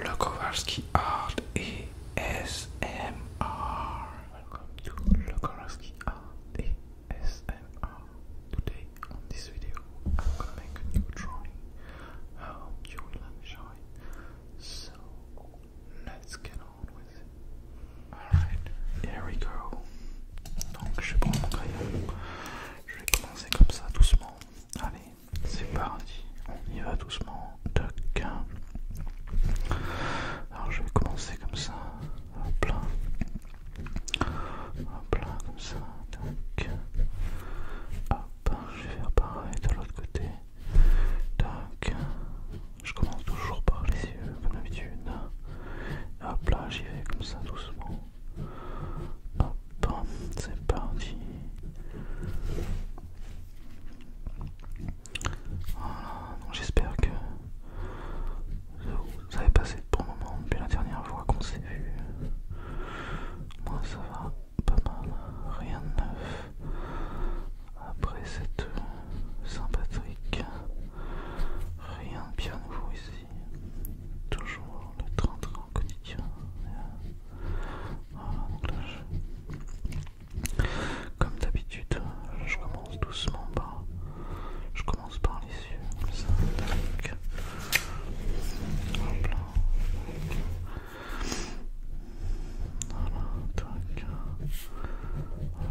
Le Kowalski Art et SMR. Welcome to Le Kowalski Art et SMR. Today on this video I'm gonna make a new drawing. I hope you will enjoy. So let's get on with it. Alright, here we go. Donc je prends mon crayon. Je vais commencer comme ça doucement. Allez, c'est parti, on y va doucement. Tac. Alors je vais commencer comme ça. Hop là. Hop là, comme ça. Tac. Hop, je vais faire pareil de l'autre côté. Tac. Je commence toujours par les yeux, comme d'habitude. Hop là, j'y vais comme ça doucement. Bon, c'est parti. Voilà, donc j'espère que vous avez passé pour le moment depuis la dernière fois qu'on s'est vu. Moi, ça va pas mal, rien de neuf. Après cette Saint-Patrick, rien de bien nouveau ici. Toujours le train-train quotidien. Oh, donc là Comme d'habitude, je commence doucement par. Je commence par les yeux, comme ça, tac. Hop là. Voilà, tac.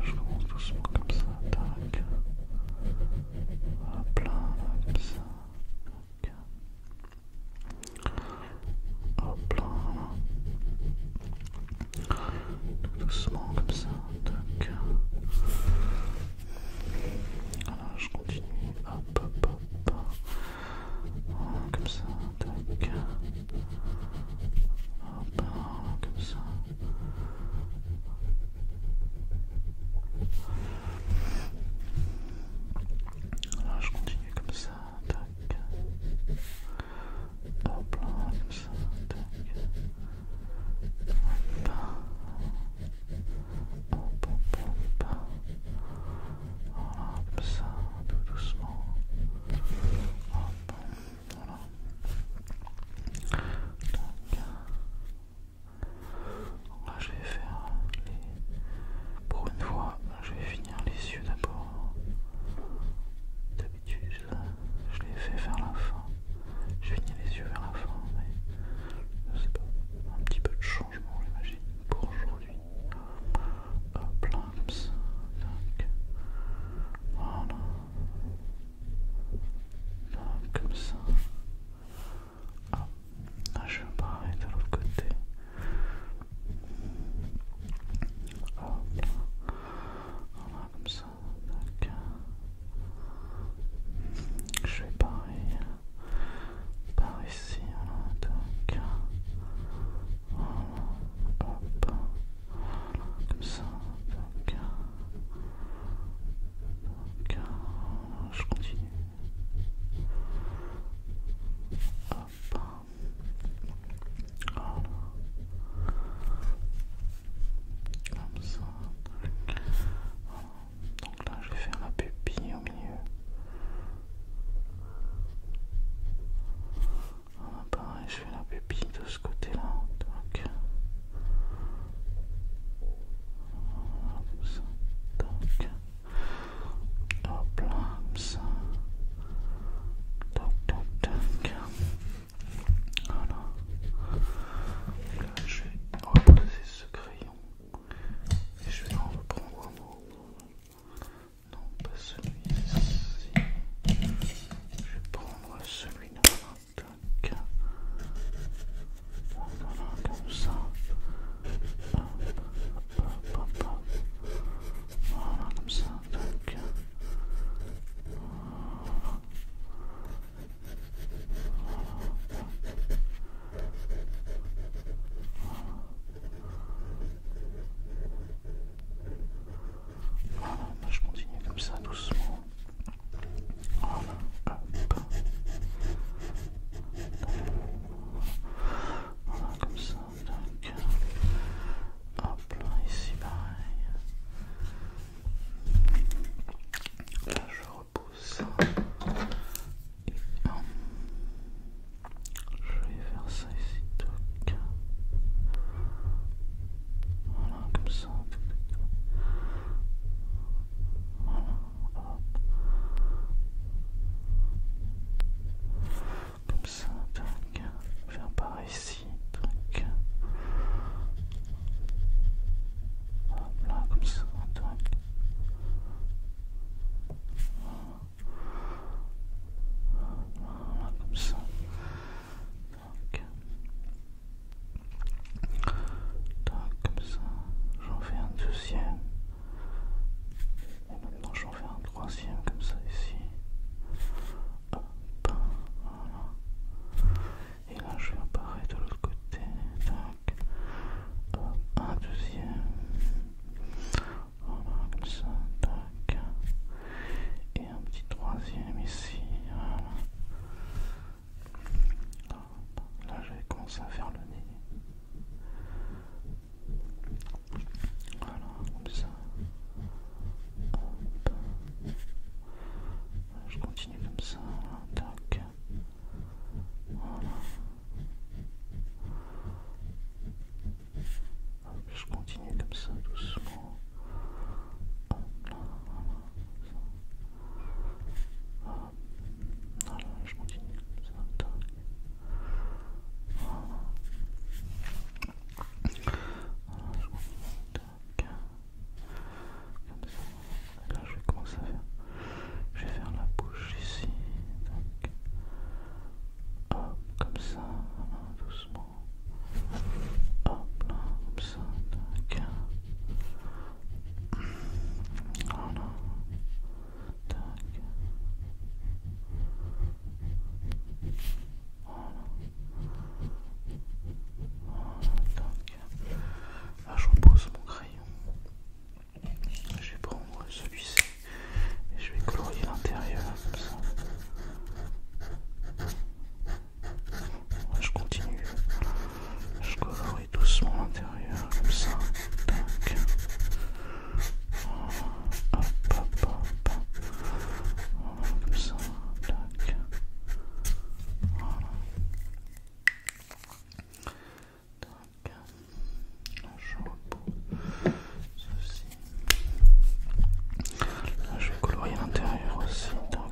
Je commence doucement comme ça, tac. Hop là, comme ça. Tac. Hop là. Tout doucement comme ça. Tac. je continue. Hop, hop, hop. comme ça. Tac. Hop, comme ça. Alors je continue comme ça, tac. Hop là, comme ça, tac. Hop là. Hop, hop, hop. Voilà, comme ça, tout doucement. Hop, voilà. Tac. Là, je vais faire Pour une fois, je vais finir les yeux d'abord. D'habitude, je les fais vers la fin. Je finis les yeux vers la fin, mais je sais pas. Un petit peu de changement, j'imagine, pour aujourd'hui. Hop là, voilà. comme ça. Ah. ah, je suis pareil de l'autre côté. Hop là. Voilà, comme ça. D'accord. je fais pareil. Par ici, voilà. Donc, voilà. Hop. Voilà, comme ça. D'accord. donc, je continue. Hop. Comme ça. Donc là, je vais faire ma pupille au milieu. Voilà, pareil, je fais la pupille de ce côté-là. comme ça. Donc. Hop là, comme ça. Top, Voilà. Là, je vais reposer ce crayon. Et je vais en reprendre un autre. Non, pas celui-ci. Je vais prendre celui-là comme ça. comme ça. je continue comme ça doucement. Voilà, comme ça, donc. Hop là, ici pareil. Là, je repousse. Et, hum, je vais faire ça ici, toc. Voilà, comme ça. Voilà. Comme ça, tac. Faire par ici, tac. Hop là, comme ça, comme ça. Tac. comme ça. J'en fais un deuxième. Et maintenant en faire un troisième comme ça ici. Hop, Et là je vais apparaître de l'autre côté. un deuxième. Voilà, comme ça. Tac. Et un petit troisième ici. Là, vais commencé à faire le nez. Voilà, comme ça. Je continue comme ça. tac. Voilà. je continue comme ça doucement là, je continue. comme ça, je continue. Là, je vais commencer à faire. Je vais faire la bouche ici. Hop, comme ça. doucement. Hop là, comme ça. Là, ah, je repose mon crayon. Je vais prendre celui-ci et je vais colorier l'intérieur comme ça. je continue. Je colorie doucement l'intérieur, comme ça. Tac. Oh, hop, hop, hop. Oh, comme ça. Tac. Voilà. Tac. Là, je repose ceci. Là, je vais colorier l'intérieur aussi. Tac.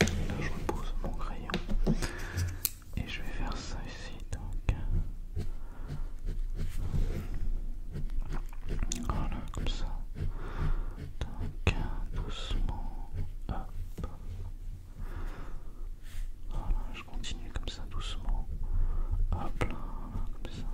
Là je repose mon crayon et je vais faire ça ici donc voilà comme ça doucement hop voilà je continue comme ça doucement hop là comme ça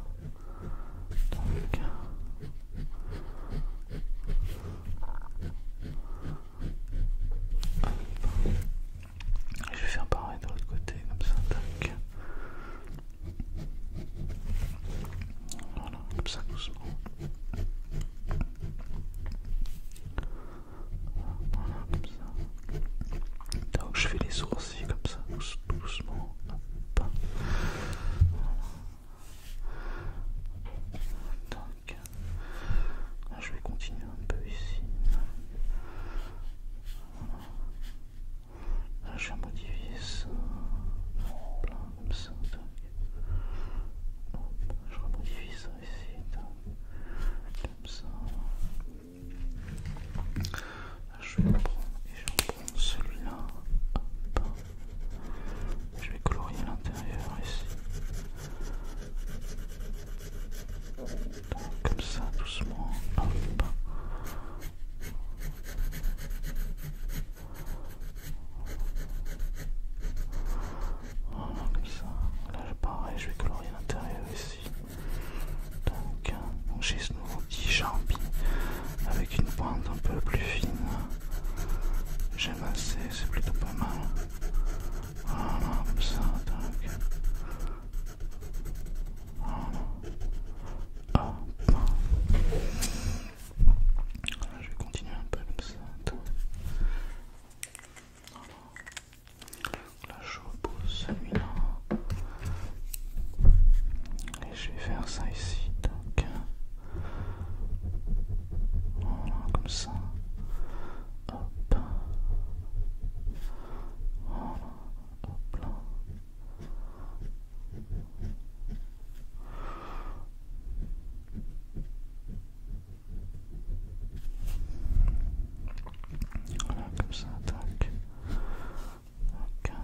je vais faire pareil de l'autre côté, comme ça, tac. Voilà, comme ça doucement. Voilà, comme ça. Donc je fais les sourcils comme ça, doucement. Donc, là, je vais continuer un peu ici. Voilà. Là, je vais modifier ça. là, comme ça. Donc. Hop, je remodifie ça ici. Comme ça. Là, je vais le prendre et je vais prendre celui-là. Hop. Je vais colorier l'intérieur ici. comme ça, doucement. Voilà, comme ça. Là, pareil, je vais colorier l'intérieur ici. Donc, euh, j'ai ce nouveau petit avec une pointe un peu plus fine j'ai massé, c'est plutôt pas mal. Voilà, je vais continuer un peu comme ça. Là, je repose celui-là. Et je vais faire ça ici, donc. Voilà, comme ça. Hop. hop là. comme ça,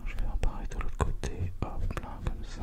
je vais apparaître de l'autre côté, hop là, comme ça.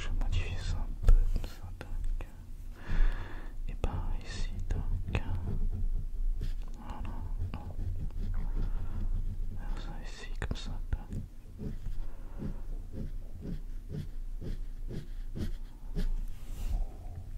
je modifie ça un peu comme ça. Donc, et par ici, donc, voilà. Faire ça ici comme ça.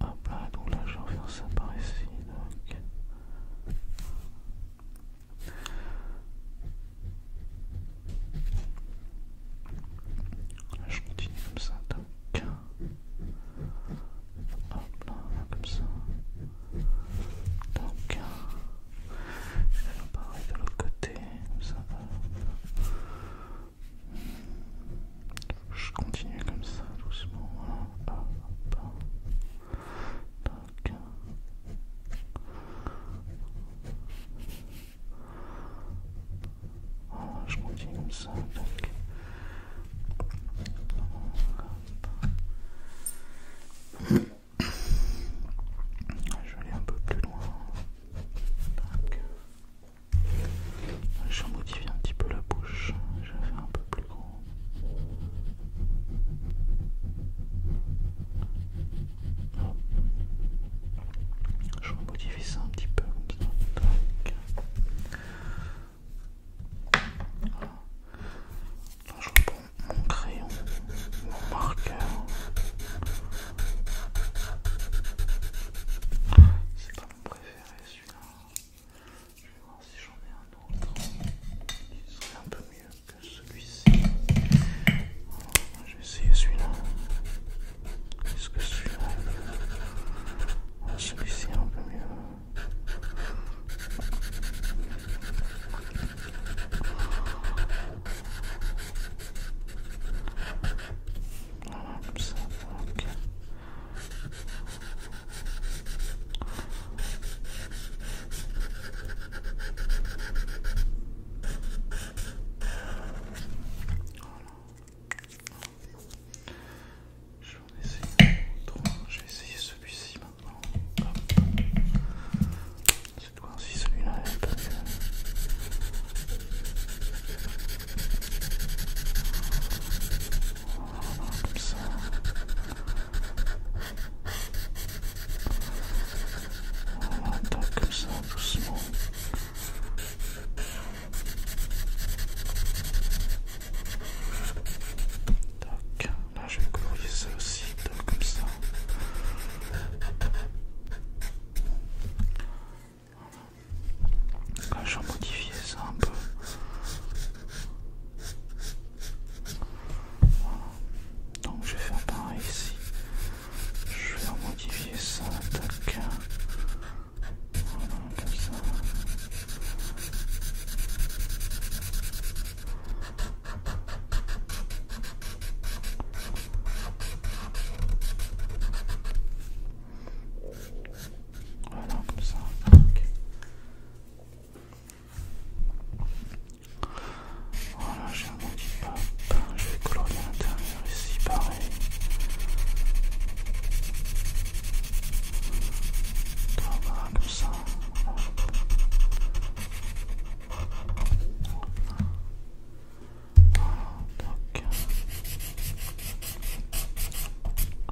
Hop là, donc là je vais refaire ça par ici. Donc. Là, je continue comme ça, donc. Hop là, comme ça. Donc, je vais faire pareil de l'autre côté, comme ça. Je continue comme ça doucement. Voilà. je continue comme ça. Je vais aller un peu plus loin. Je je modifie un petit peu la bouche. Je vais faire un peu je vais modifier ça un petit peu comme ça. je reprends mon crayon, mon marqueur. C'est pas mon préféré celui-là. Je vais voir si j'en ai un autre qui serait un peu mieux que celui-ci. Je vais essayer celui-là. Est-ce que celui-là Celui-ci est un peu mieux. Voilà, comme ça, ok. Je vais essayer autre. Je vais essayer celui-ci maintenant. C'est quoi aussi celui-là. Parce que... Comme ça. Voilà, comme ça, doucement. Tac, là je vais colorier ça aussi, comme ça je vais modifier ça un peu. Donc je vais faire pareil ici. Je vais en modifier ça. comme ça. Voilà, comme ça. Voilà, j'ai un petit peu. Je vais colorier l'intérieur ici, pareil. comme ça.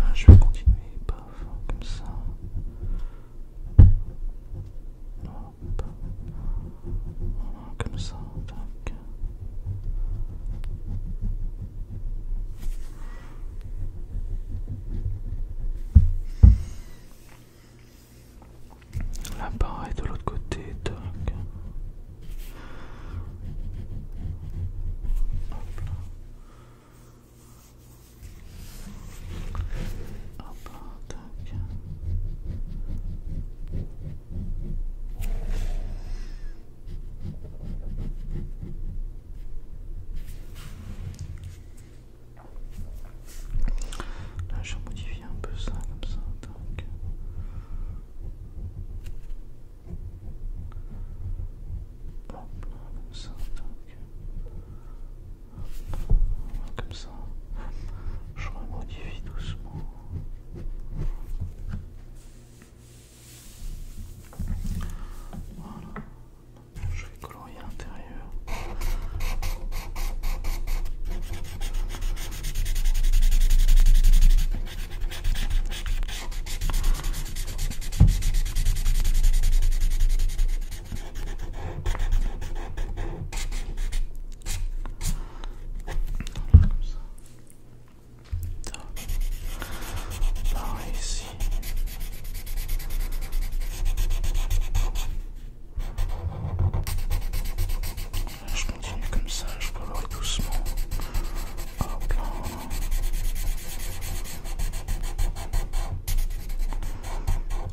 Ah, je vais continuer, comme ça. Hop. Comme ça, Là, pareil, de l'autre côté, tac. Là, je vais un peu ça comme ça. Donc. comme ça. comme ça. Je remodifie doucement. Voilà. Je vais colorier l'intérieur. you. Down, down, I see. Je continue comme ça, je colorie doucement.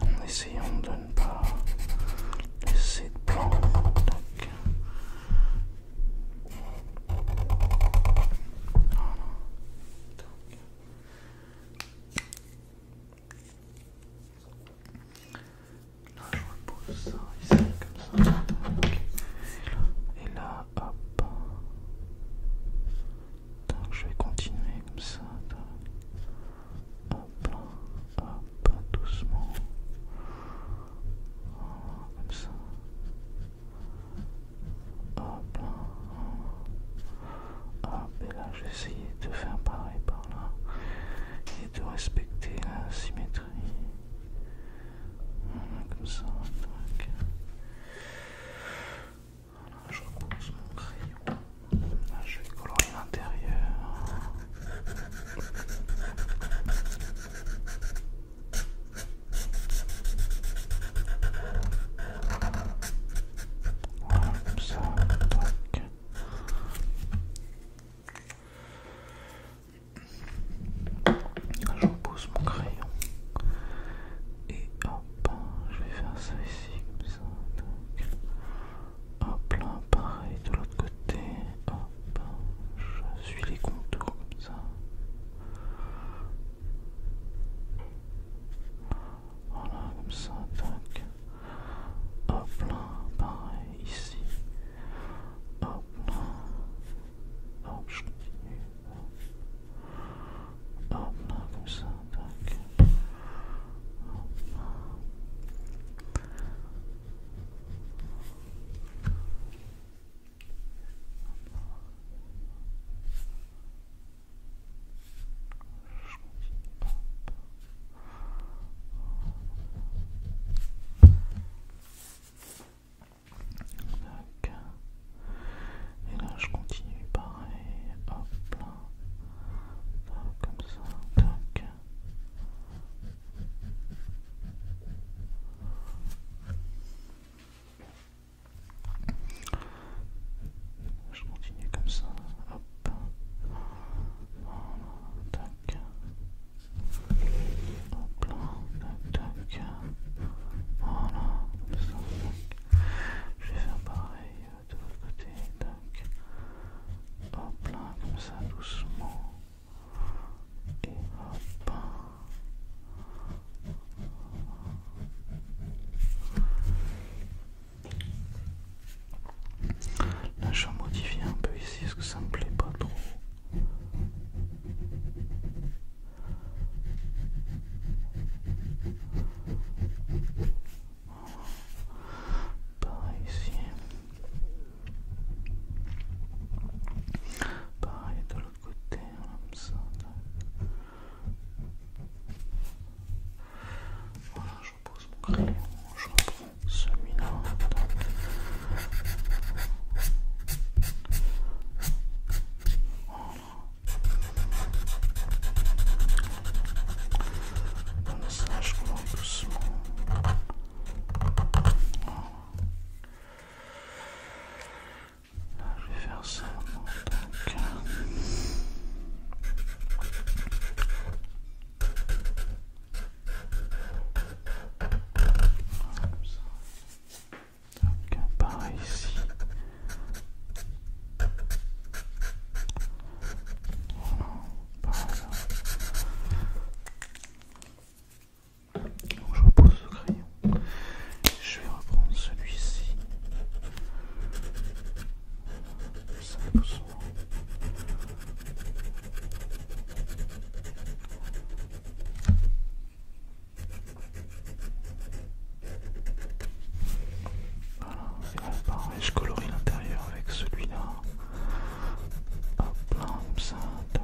En essayant de ne pas laisser de plan. Là, je repose ça ici, comme ça. Et là, hop. Donc, je vais continuer comme ça. Hop, hop, doucement. Comme ça. Hop, hop. Et là, je vais essayer de faire pareil par là et de respecter la symétrie. Voilà, comme ça, je repose mon crayon. Là, je vais colorier l'intérieur. Voilà, comme ça, je pose mon crayon et hop, je vais faire ça ici comme ça. hop là, pareil de l'autre côté. Hop, je suis les contours comme ça. Voilà, comme ça, Hop là, pareil ici. Hop là. Hop, je continue. Hop, hop là, comme ça. Tac. Hop là. Je continue. Hop. Et là je continue pareil, hop comme ça, tac. Je continue comme ça, tac. Hop là, tac, tac. Voilà, ça, tac. Je vais faire pareil de l'autre côté, tac. Hop là, comme ça, doucement. Et hop. Là je vais modifier un peu ici parce que ça me plaît pas trop. Pareil ici. Pareil de l'autre côté, ça. Je repose mon crayon, je reprends celui-là. On Comme ça, je prends doucement. Là, je vais faire ça. Donc, ici, Donc je repose le crayon. Je vais reprendre celui-ci. Voilà, et là, pareil, je colorie l'intérieur avec celui-là. Hop là, ça, donc.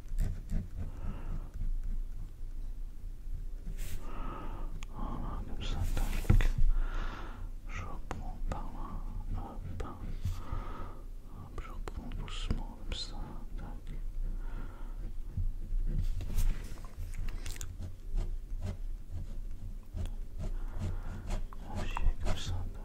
Oh comme Je reprends par je reprends doucement comme ça. comme ça.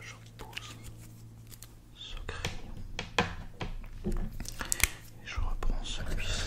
je pose ce crayon et je reprends celui-ci.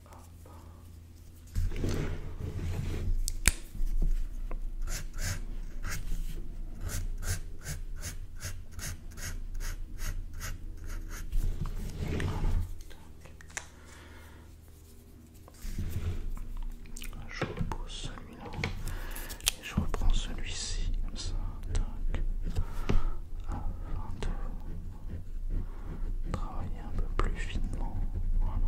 Je repose celui-là et je reprends celui-ci comme ça travailler un peu plus finement. Voilà.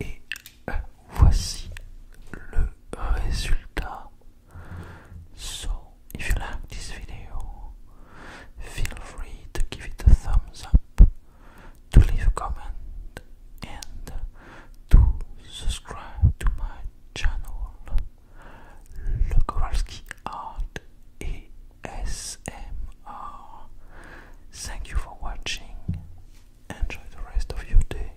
et euh, voici le résultat So, if you like this video, feel free to give it a thumbs up, to leave a comment, and to subscribe to my channel, Le Kowalski Art ASMR. Thank you for watching. Enjoy the rest of your day.